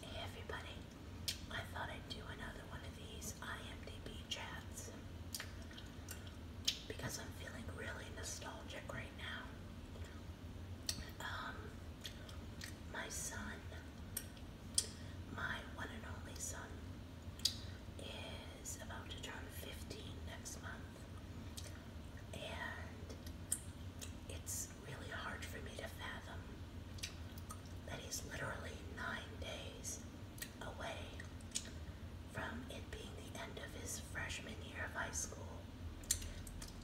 Hey everybody, I thought I'd do another one of these IMDb chats because I'm feeling really nostalgic right now. Um, my son, my one and only son, is about to turn 15 next month. And it's really hard for me to fathom that he's literally nine days away from it being the end of his freshman year of high school.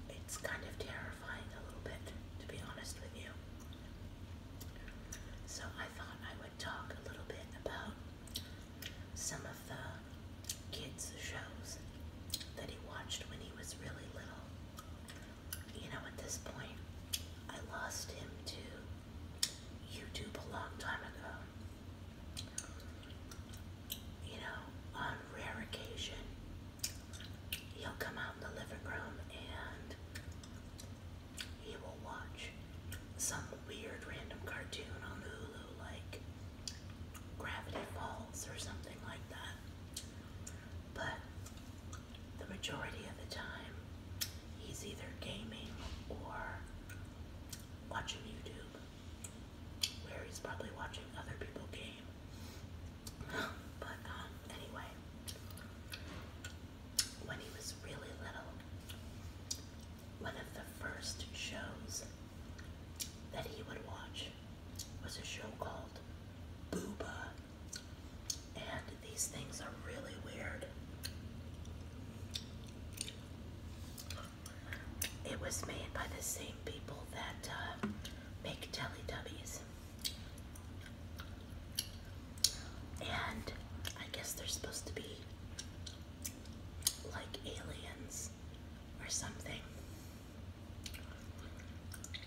It's kind of terrifying a little bit, to be honest with you. So I thought I would talk a little bit about some of the kids' shows that he watched when he was really little. You know, at this point, I lost him to YouTube a long time ago. You know, on rare occasion, he'll come out in the living room and he will watch some weird random cartoon on Hulu, like Gravity Falls or something like that. But the majority of the time, he's either gaming or watching YouTube, where he's probably watching other people game. But um, anyway, when he was really little, one of the first shows that he would watch was a show called Booba. And these things are really weird. It was made by the same people that uh, make Teletubbies. And I guess they're supposed to be like aliens or something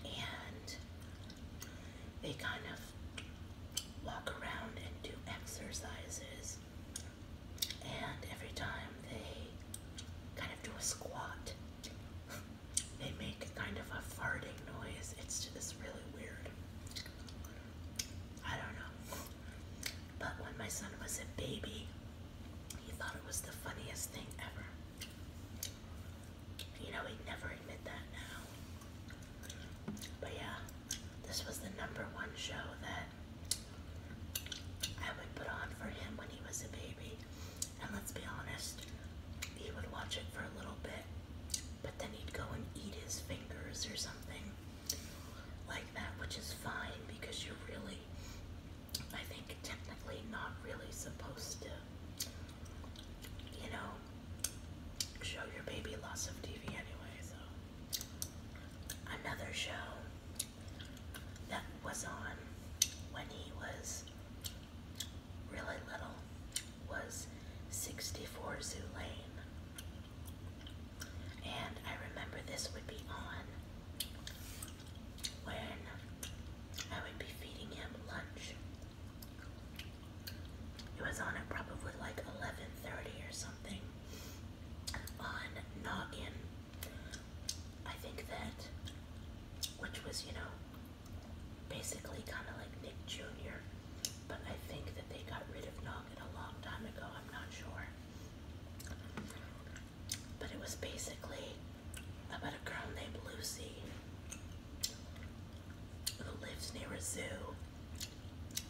and they kind of walk around and do exercises. And every time they kind of do a squat, they make kind of a farting noise. It's just really weird. I don't know. But when my son was a baby, he thought it was the funniest thing ever. You know, he'd never admit that now. But yeah, this was the number one show that I would put on for him when he was a baby. And let's be honest, he would watch it for a little bit, but then he'd go and eat his fingers or something like that, which is fine because you really I think, technically not really supposed to, you know, show your baby lots of TV anyway. So, another show that was on when he was really little was 64 Zoo Lane. And I remember this would be on when I would be feeding him lunch. It was on at probably like 11.30 or something on Noggin. I think that, which was, you know, basically kind of like Nick Jr., but I think that they got rid of Noggin a long time ago, I'm not sure but it was basically about a girl named Lucy who lives near a zoo.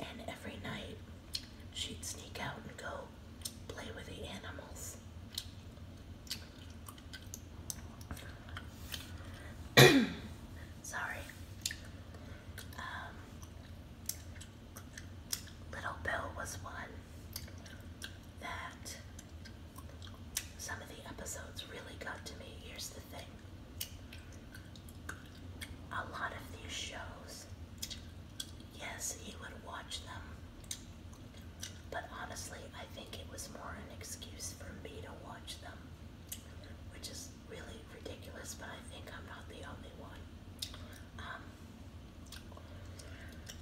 And every night she'd sneak out and go play with the animals. Sorry. Um, little Bill was one that some of the episodes really got to me. Here's the thing a lot of these shows, yes, you would watch them, but honestly, I think it was more an excuse for me to watch them, which is really ridiculous, but I think I'm not the only one. Um,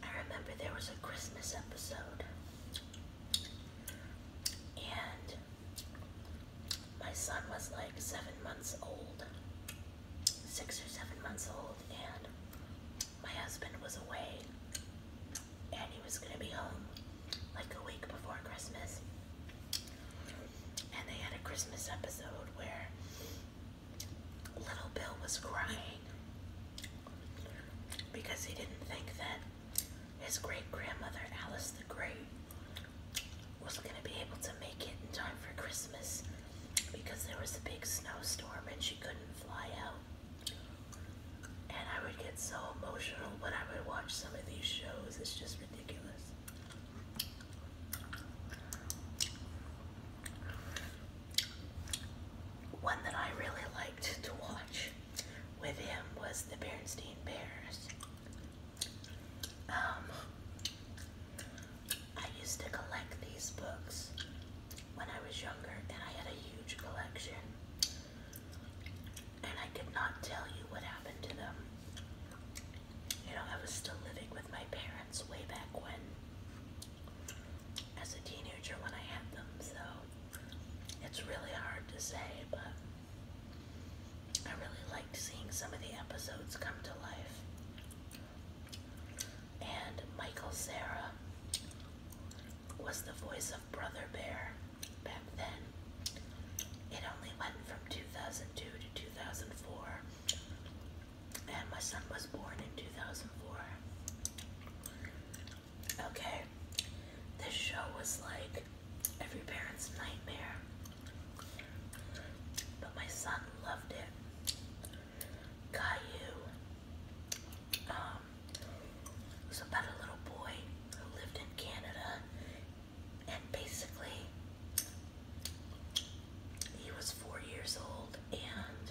I remember there was a Christmas episode, and my son was like seven months old, six or seven months old, and my husband was away, and he was gonna be home like a week before Christmas. And they had a Christmas episode where little Bill was crying because he didn't think that his great grandmother, Alice the Great, was going to be able to make it in time for Christmas because there was a big snowstorm and she couldn't fly out. And I would get so emotional when I would watch some of these shows. It's just ridiculous. One that I really liked to watch with him was the Bernstein Bears. Um, I used to collect these books when I was younger, and I had a huge collection. And I could not tell you what happened to them. You know, I was still living with my parents way back when as a teenager when I had them, so it's really hard to say, but I really liked seeing some of the episodes come to life. And Michael Sarah was the voice of Brother Bear back then. It only went from 2002 to 2004, and my son was born in 2004. Okay, this show was like every parent's nightmare, but my son loved it. Caillou um, about a little boy who lived in Canada, and basically, he was four years old and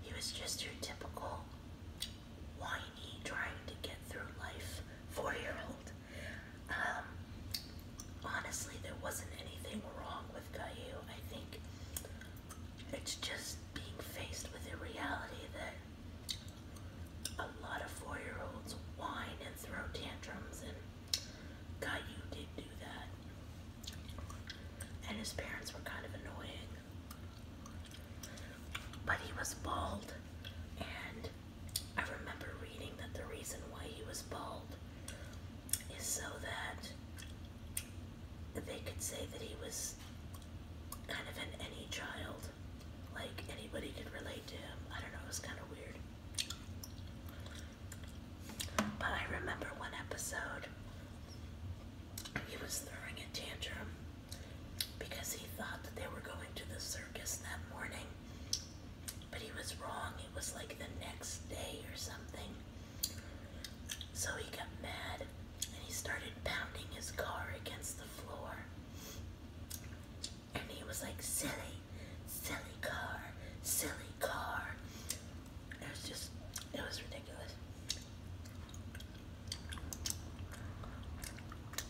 he was just your typical whiny, trying to get through life four year old. Um, honestly, there wasn't anything wrong with Caillou. I think it's just being faced with the reality that a lot of four year olds whine and throw tantrums, and Caillou did do that. And his parents were kind of annoying. But he was bald, and I remember reading that the reason why he was bald is so that they could say that he was kind of an any child, like anybody could relate to him. I don't know, it was kind of weird. But I remember one episode he was throwing a tantrum because he thought that they were going to the circus that morning, but he was wrong. It was like the next day or something. So he got mad and he started pounding his car against the floor. And he was like, Silly, silly car, silly car. It was just, it was ridiculous.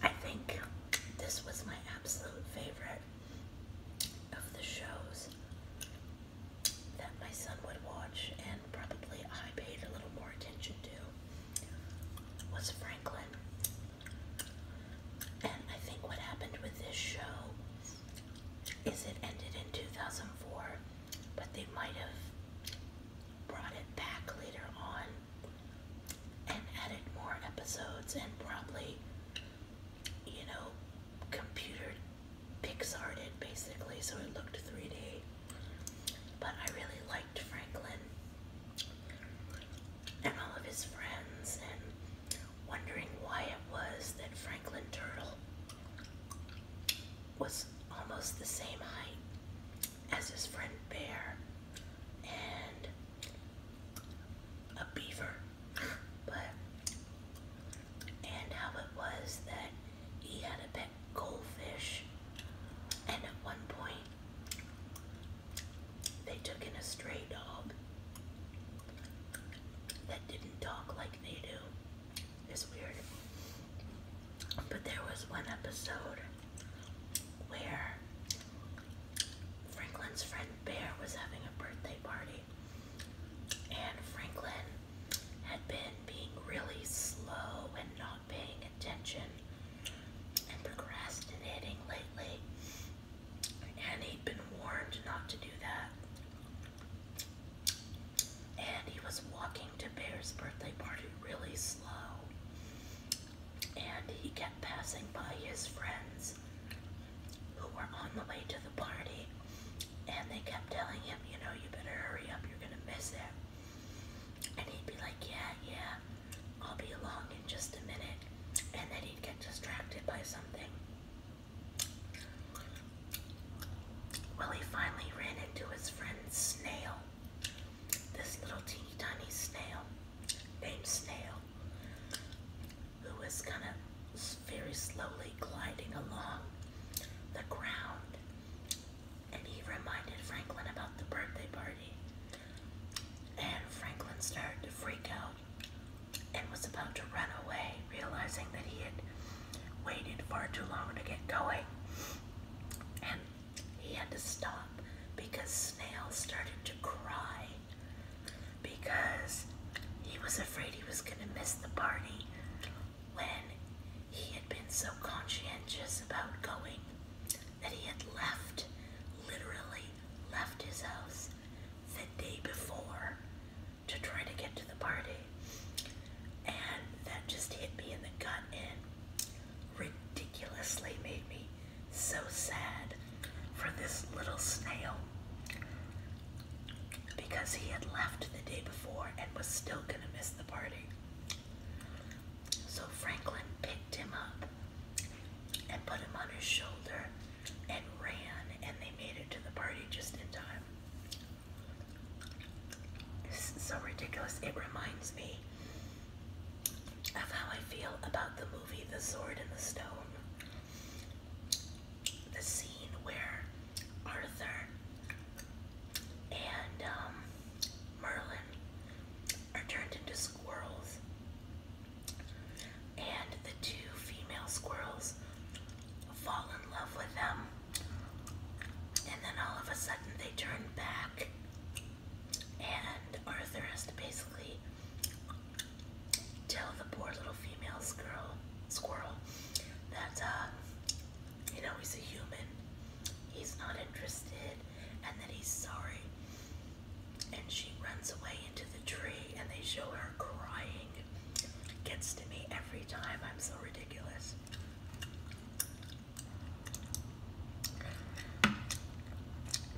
I think this was my absolute favorite of the shows that my son would watch and probably I paid a little more attention to was Franklin. And I think what happened with this show is it ended in 2004 but they might have brought it back later on and added more episodes and probably, you know, computer Pixar it basically, so it looked 3D. But I really liked Franklin and all of his friends and wondering why it was that Franklin Turtle was almost the same height as his friend Bear and a beaver. But and how it was that he had a pet goldfish and at one point they took in a stray dog that didn't talk like they do. It's weird. But there was one episode where Franklin's friend Bear was having a birthday party, and Franklin had been being really slow and not paying attention and procrastinating lately, and he'd been warned not to do that. And he was walking to Bear's birthday party really slow. And he kept passing by his friends who were on the way to the party. And they kept telling him, you know, you better hurry up, you're going to miss it. And he'd be like, yeah, yeah, I'll be along in just a minute. And then he'd get distracted by something. Well, he finally ran into his friend Snail, this little teeny tiny snail named Snail, who was kind of very slowly gliding along the ground. And he reminded Franklin about the birthday party. And Franklin started to freak out and was about to run away, realizing that he had waited far too long to get going, and he had to stop because Snail started to cry because he was afraid he was going to miss the party when he had been so conscientious about going that he had left, literally left his house the day before to try to get to the party. And that just hit me in the gut and ridiculously made me so sad for this little snail because he had left the day before and was still going to miss the party. So Franklin picked him up and put him on his shoulder and ran, and they made it to the party just in time so ridiculous. It reminds me of how I feel about the movie The Sword in the Stone. The scene where Arthur and um, Merlin are turned into squirrels, and the two female squirrels fall in love with them, and then all of a sudden they turn back, and Arthur has to basically tell the poor little female squirrel, squirrel that uh, you know he's a human, he's not interested, and that he's sorry. And she runs away into the tree, and they show her crying. Gets to me every time. I'm so ridiculous.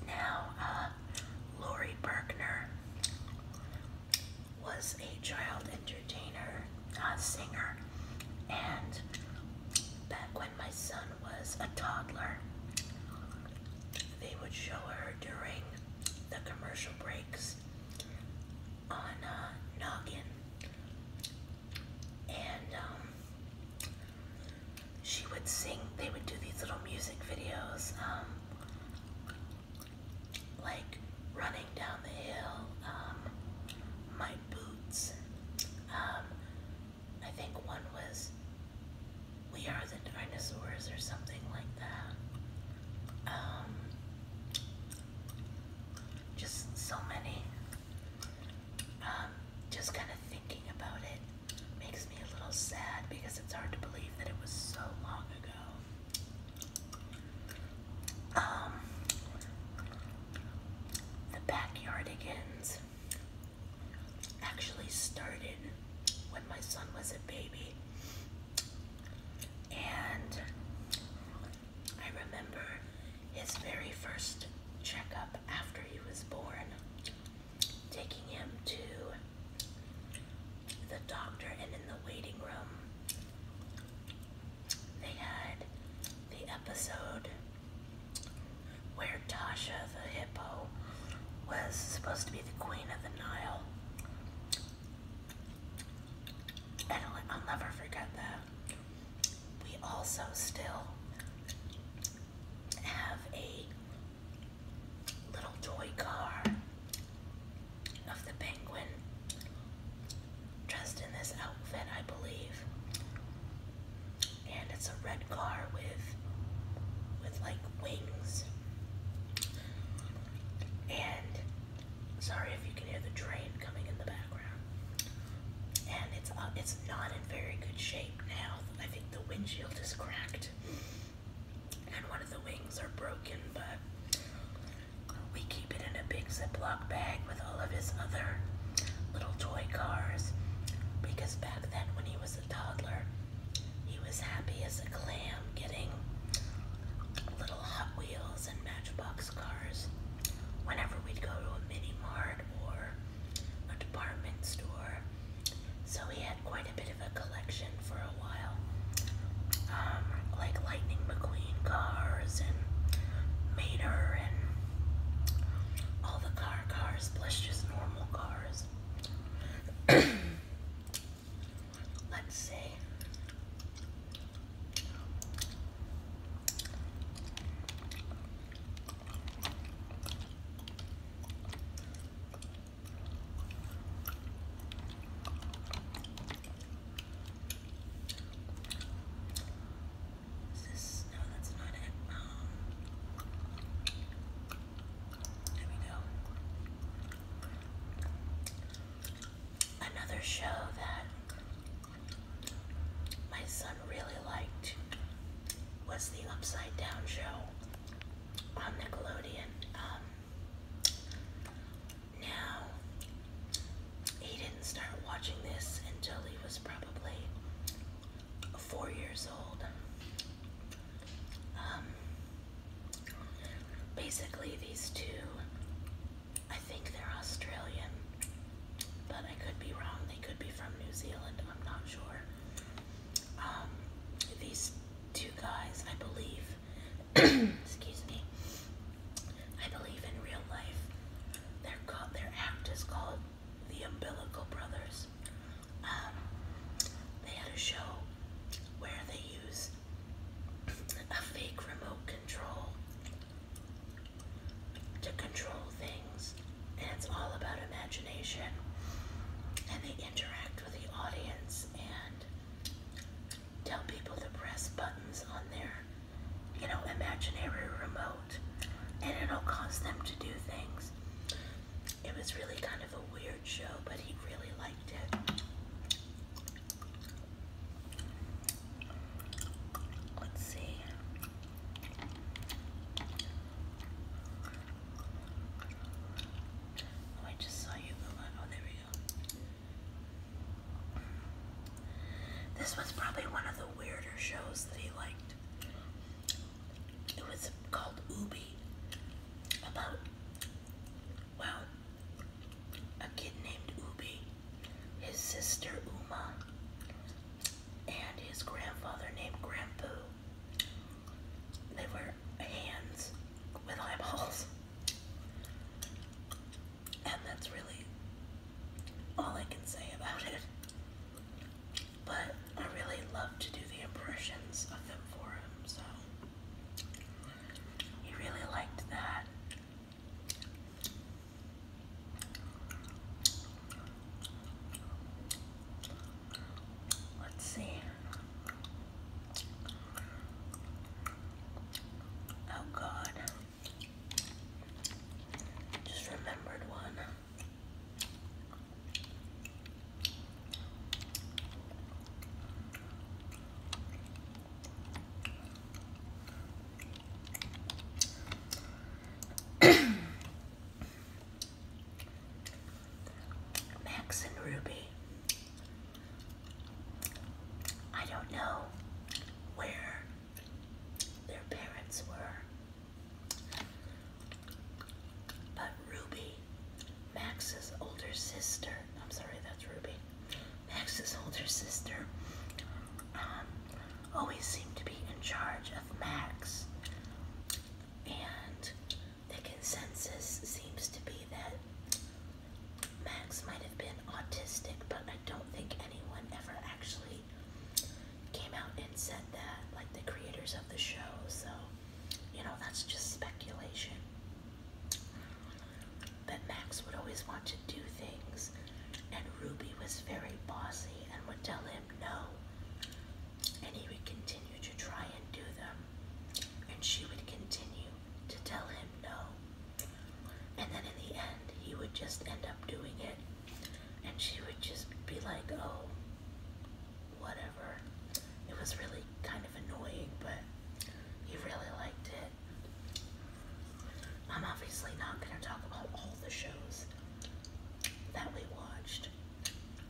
Now, uh, Lori Berkner was a child entertainer, a singer, and back when my son was a toddler, they would show her during the commercial breaks on noggin, and um, she would sing. They would do these little music videos, um, like running down the hill. my um, boots. I think one was "We Are the Dinosaurs" or something like that. Just so many. Um, just kind of thinking about it makes me a little sad because it's hard to believe that it was so long ago. Um, the Backyardigans actually started when my son was a baby. And I remember his very first checkup after he was born, taking him to the doctor, and in the waiting room, they had the episode where Tasha the hippo was supposed to be the queen of the Nile. I'll never forget that we also still have a little toy car of the penguin dressed in this outfit, I believe. And it's a red car with with like wings. And Sorry if you can hear the train coming in the background. And it's uh, it's not in very good shape now. I think the windshield is cracked, and one of the wings are broken. But we keep it in a big Ziploc bag with all of his other little toy cars, because back then when he was a toddler, he was happy as a clam getting little Hot Wheels and Matchbox boxcars whenever we'd go to a mini mart or a department store. So he had quite a bit of a collection for a while. Um, like Lightning McQueen cars and Mater and all the car cars plus just normal cars. Let's see. Is this? No, that's not it. Um, there we go. Another show that my son really liked was the Upside Down show on Nickelodeon. Um, now, he didn't start watching this until he was probably four years old. Um, basically, these two I think they're Australian, but I could be wrong. They could be from New Zealand. I'm not sure. Um, these two guys, I believe, excuse me, I believe in real life, they're called, their act is called the Umbilical Brothers. Um, they had a show where they use a fake remote control to control things, and it's all about imagination. And they interact with the audience and tell people to press buttons on their, you know, imaginary remote, and it'll cause them to do things. It was really kind of a weird show, but he really liked it. Let's see. Oh, I just saw you go Oh, there we go. This was probably one of the weirder shows that he liked. It was called Ubi. About, well, a kid named Ubi his sister Uma, and his grandfather named Grandpoo. They were hands with eyeballs. And that's really all I can say about it. But I really love to do the impressions of them for him, so he really liked that. Let's see. Oh God. Just remembered one. Max and Ruby. I don't know where their parents were, but Ruby, Max's older sister, I'm sorry, that's Ruby. Max's older sister, um, always seemed to be in charge of Max. And the consensus seems to be that Max might have been autistic, but I don't think anyone ever actually came out and said that, like the creators of the show. So, you know, that's just speculation. But Max would always want to do things, and Ruby was very bossy and would tell him no. And he would continue to try and do them, and she would continue to tell him no. And then in the end, he would just end up doing it, and she would just be like, oh, whatever. It was really kind of annoying, but he really liked it. I'm obviously not going to talk about all the shows that we watched.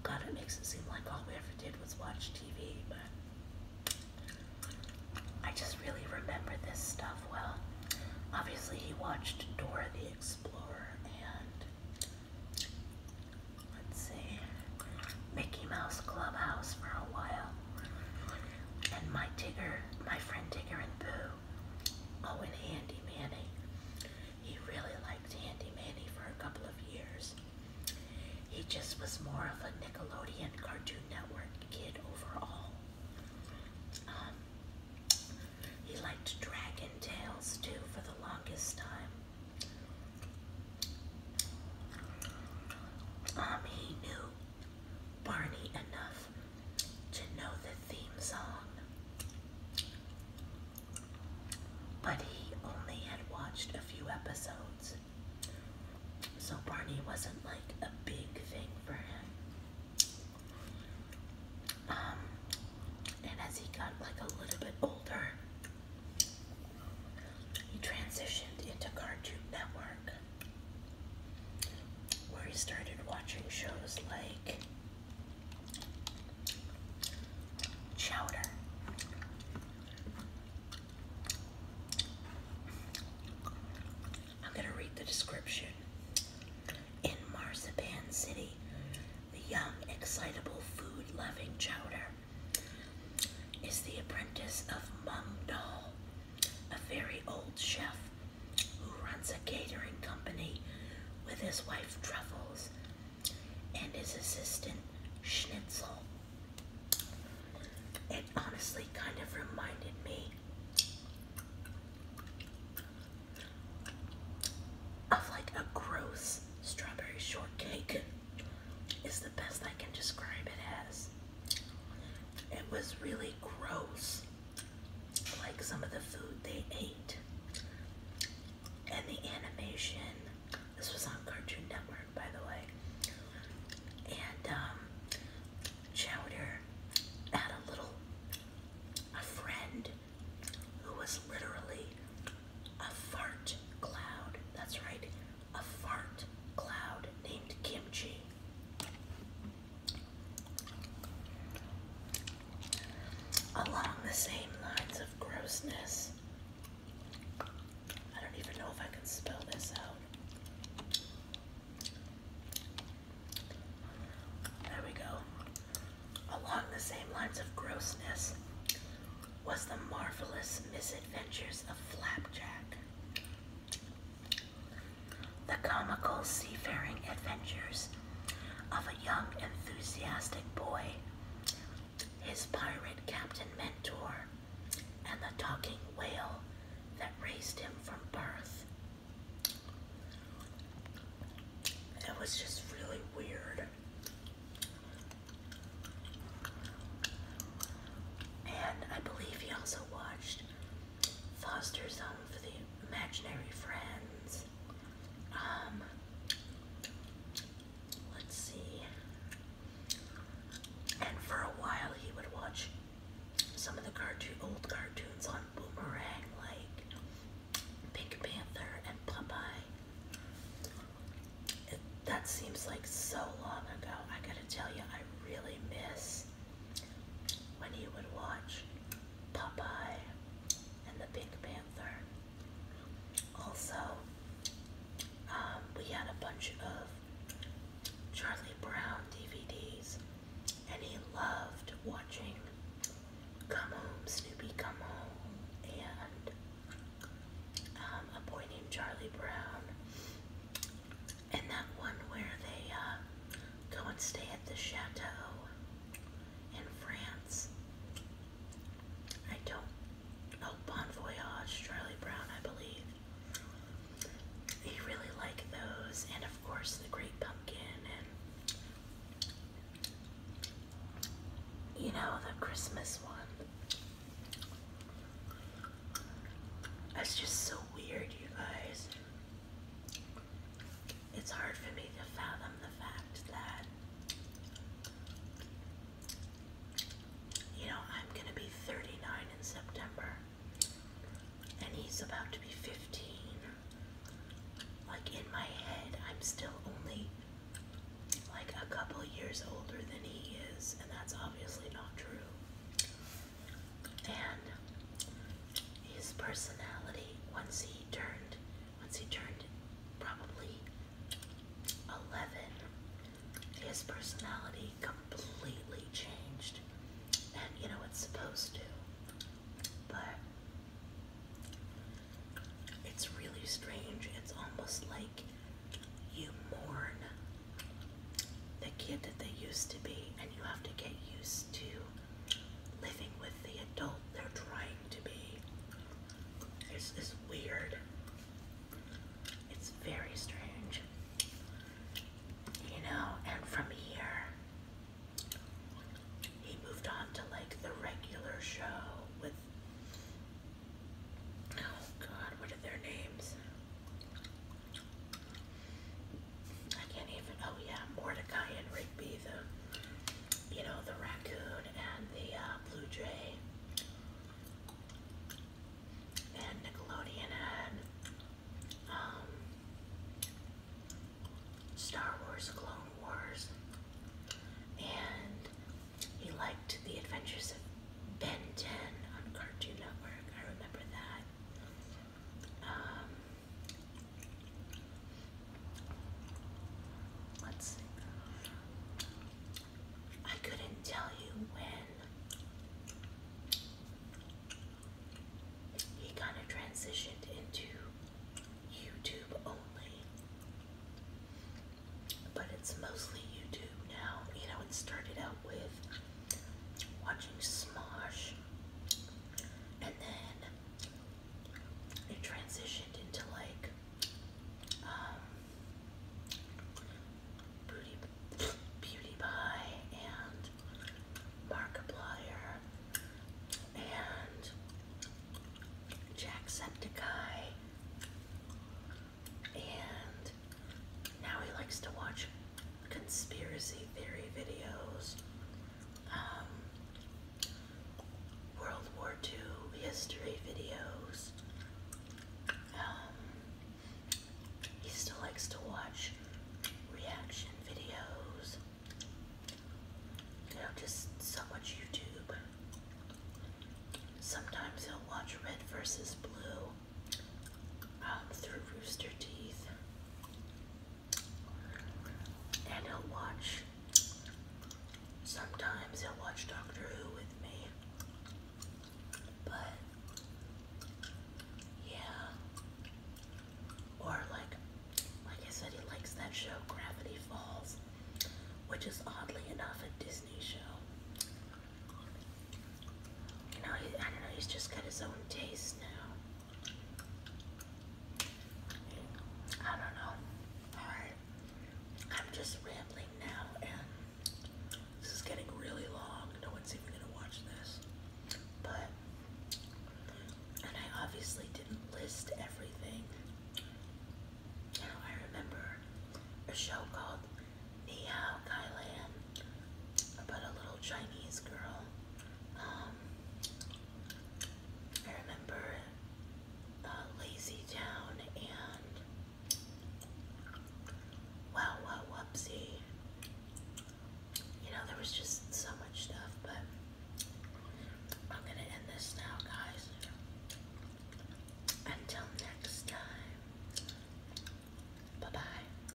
God, it makes it seem like all we ever did was watch TV, but I just really remember this stuff well. Obviously, he watched Dora the Explorer and let's see, Mickey Mouse Clubhouse for a while and my Tigger, my friend Tigger and Boo. Oh, and Handy Manny. He really liked Handy Manny for a couple of years. He just was more of a Nickelodeon Cartoon Network kid overall. Um, he liked Dragon Tales too for the longest time. Um, he knew Barney enough to know the theme song. But he only had watched a few episodes, so Barney wasn't like a big thing for him. Um, and as he got like a little bit older, he transitioned into Cartoon Network where he started watching shows like Chowder. I'm going to read the description. In Marzipan City, the young, excitable, food-loving Chowder is the apprentice of Mung Dal, a very old chef who runs a catering company with his wife Truffles and his assistant Schnitzel. It honestly kind of reminded me of like a gross strawberry shortcake is the best I can describe it as. It was really gross, like some of the food they ate. And the animation, this was on Cartoon Network, by the way. And um, Chowder had a little, a friend who was literally a fart cloud. That's right, a fart cloud named Kimchi. Along the same lines of grossness, I don't even know if I can spell this out. There we go. Along the same lines of grossness was the marvelous misadventures of Flapjack. The comical seafaring adventures of a young, enthusiastic boy, his pirate captain mentor, and the talking whale that raised him from birth. It was just really weird. And I believe he also watched Foster's Home for the Imaginary Friends. Um, let's see. And for a while, he would watch some of the cartoon, old cartoons on Boomerang, like Pink Panther and Popeye. that seems like so long ago. I gotta tell you, I really miss when he would watch Popeye and the Pink Panther. Also, um, we had a bunch of Charlie Brown DVDs, and he loved watching Come Home, Snoopy Come Home, and um, A Boy Named Charlie Brown, and that one where they uh, go and stay at the chateau in France. I don't. Oh, Bon Voyage, Charlie Brown, I believe. They really like those, and of course, the Great Pumpkin, and you know, the Christmas one. That's just so weird, you guys. It's hard for me to fathom the fact that, you know, I'm going to be 39 in September and he's about to be 15. Like in my head, I'm still only like a couple years older than he is, and that's obviously not true and his personality once he turned once he turned probably 11 his personality completely changed and you know it's supposed to but it's really strange it's almost like you mourn the kid that they used to be, and you have to get used to living with the adult they're trying to be. It's, it's weird. It's very strange. You know, and from here, he moved on to like the regular show with. Oh God, what are their names? I can't even, oh yeah, Mordecai and Rigby, the, you know, the raccoon and the uh, blue jay and Nickelodeon and um, Star Wars, Clone Wars, and he liked The Adventures of Ben 10 on Cartoon Network. I remember that. Um, let's see. I couldn't tell you when he kind of transitioned into YouTube only, but it's mostly YouTube now. You know, it started out with watching Smosh and then it transitioned into like um, Beauty Beauty Pie and Markiplier and Jacksepticeye and now he likes to watch conspiracy theory videos, um, World War II history videos. Um, he still likes to watch reaction videos. You know, just so much YouTube. Sometimes he'll watch Red versus Blue. Um, through rooster teeth, and he'll watch. Sometimes he'll watch Doctor Who with me, but yeah, or like, like I said, he likes that show Gravity Falls, which is oddly enough a Disney show. You know, I don't know, he's just got his own taste now. I don't know. Alright. I'm just rambling now, and this is getting really long. No one's even going to watch this. But, and I obviously didn't list everything. You I remember a show called Nihao Thailand about a little Chinese girl. Um, I remember uh, Lazy Town and Wow Wow Whoopsie. You know, there was just so much stuff, but I'm gonna end this now, guys. Until next time, bye bye.